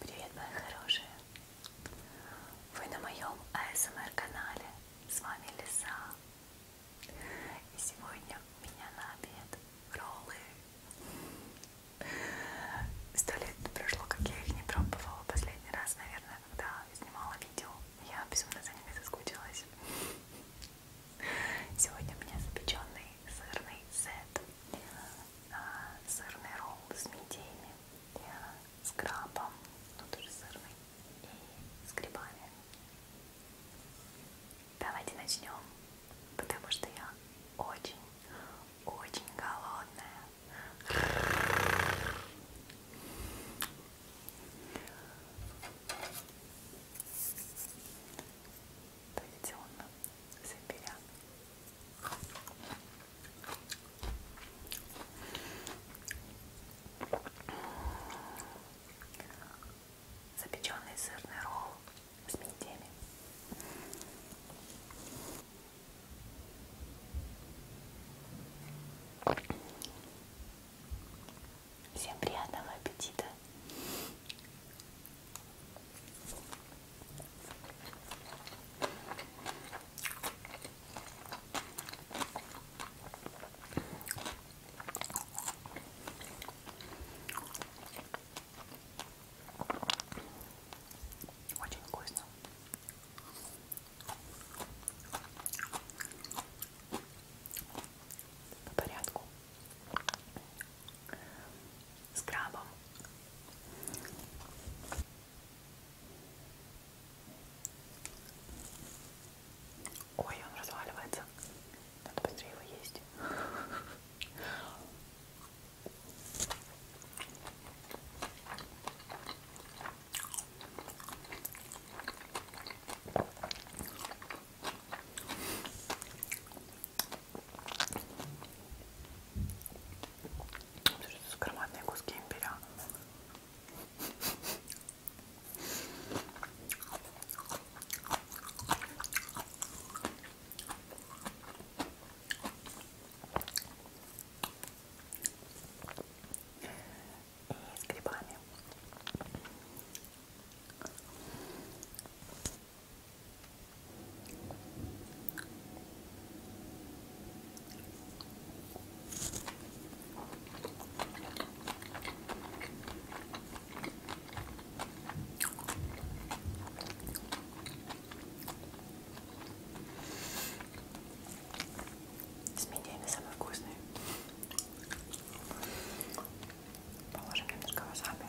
Привет, мои хорошие! Вы на моем АСМР-канале. С вами Лиса. И сегодня у меня на обед роллы. Сто лет прошло, как я их не пробовала. Последний раз, наверное, когда снимала видео. Я безумно за ними соскучилась. Сегодня у меня запеченный сырный сет а, сырный ролл с мидиями, э, с крабом, ну тоже сырный, и с грибами. Давайте начнем, потому что я очень-очень голодная. Традиционно заберя Запеченный сырный ролл с мидиями. Всем приятного аппетита! Очень вкусно. По порядку с крабом. Ой, он разваливается. Надо быстрее его есть. Громадные куски имбиря. И с грибами. С мидиями самый вкусный. Положим немножко васаби.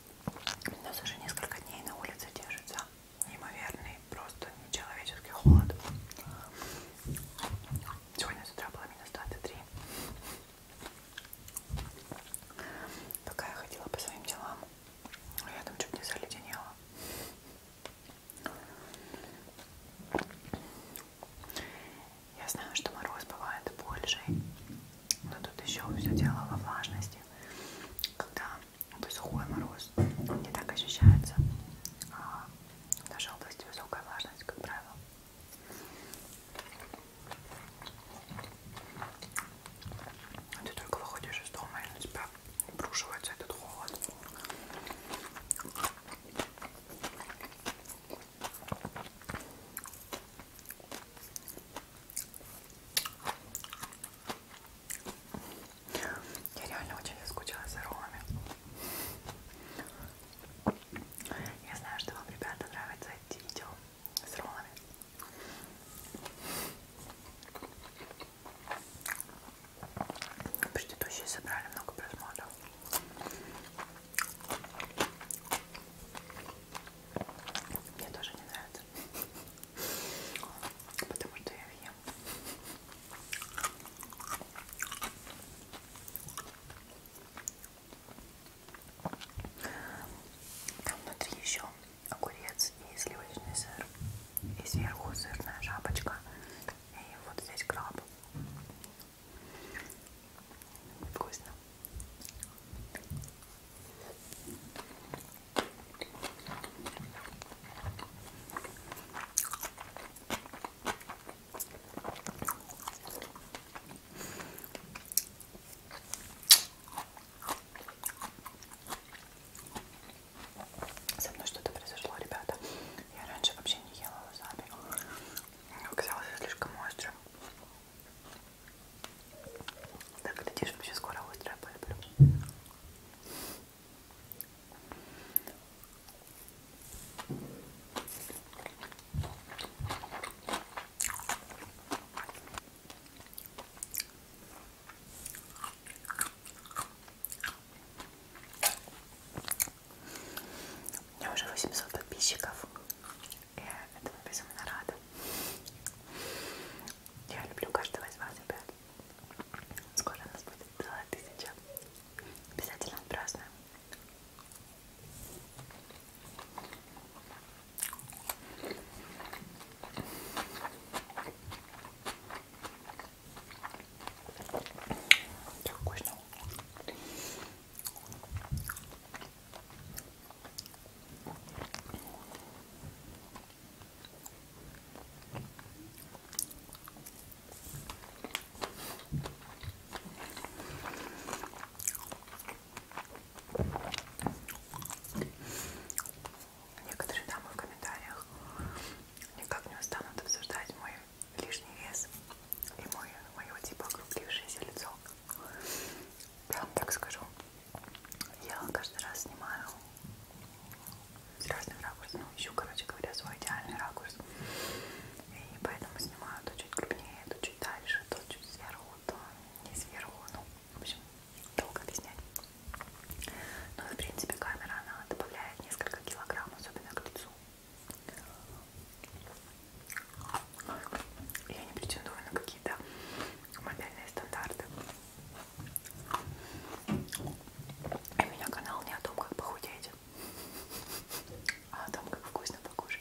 У нас уже несколько дней на улице держится неимоверный, просто нечеловеческий холод. Сегодня с утра было минус 23. Пока я ходила по своим делам, я там чуть не заледенела. Я знаю, что мороз бывает больше, но тут еще все дело во влажности. Когда ну, сухой мороз, он не так ощущается. А в нашей области высокая влажность, как правило. А ты только выходишь из дома, и на тебя обрушивается этот холод. Я реально очень заскучала за роллами. Я знаю, что вам, ребята, нравится эти видео с роллами. Предыдущие собрали много просмотров. Мне тоже не нравится. Потому что я ем. Там внутри еще огурец и сливочный сыр. И сверху сырная шапочка. И вот здесь краб. Вкусно. Со мной что-то произошло, ребята. Я раньше вообще не ела вазаби. Оказалось слишком острым. Так, глядишь, вообще скоро острое полюблю. У меня уже 800 подписчиков. Я этому безумно рада. Я люблю каждого из вас, ребят. Скоро у нас будет целая тысяча. Обязательно отпразднуем. Так вкусно. Некоторые дамы в комментариях никак не устанут обсуждать мой лишний вес и мой, мое типа округлившееся лицо. Я вам так скажу. Я каждый раз снимаю с разных ракурсов. Ну, ищу, короче говоря, свой идеальный ракурс. И поэтому снимаю то чуть крупнее, то чуть дальше, то чуть сверху, то не сверху. Ну, в общем, долго объяснять. Ну и в принципе камера, она добавляет несколько килограмм, особенно к лицу. Я не претендую на какие-то мобильные стандарты. И у меня канал не о том, как похудеть, а о том, как вкусно покушать.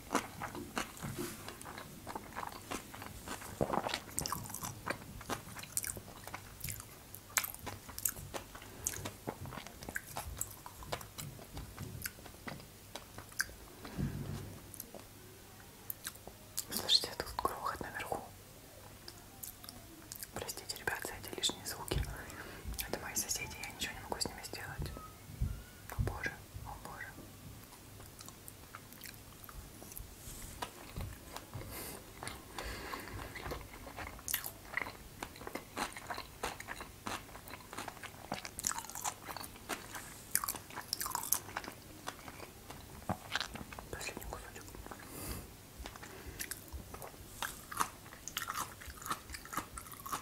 Слышите этот а грохот наверху? Простите, ребят, за эти лишние звуки. Это мои соседи, я ничего не могу с ними сделать. О боже, о боже. Последний кусочек.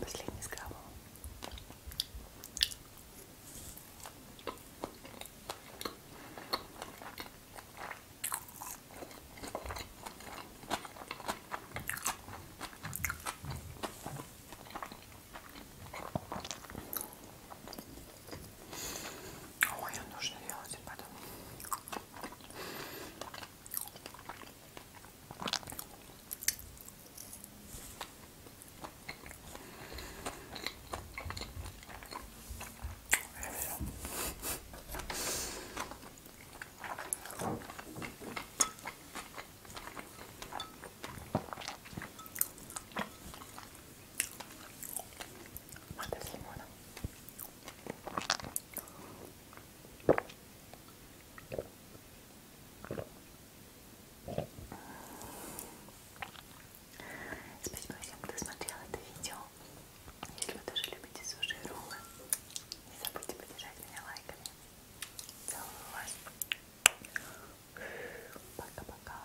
Последний скраб. Ой, а нужно делать потом. И все. Мата с лимоном. Спасибо всем, кто смотрел это видео. Если вы тоже любите суши и роллы, не забудьте поддержать меня лайками. Целую вас. Пока-пока.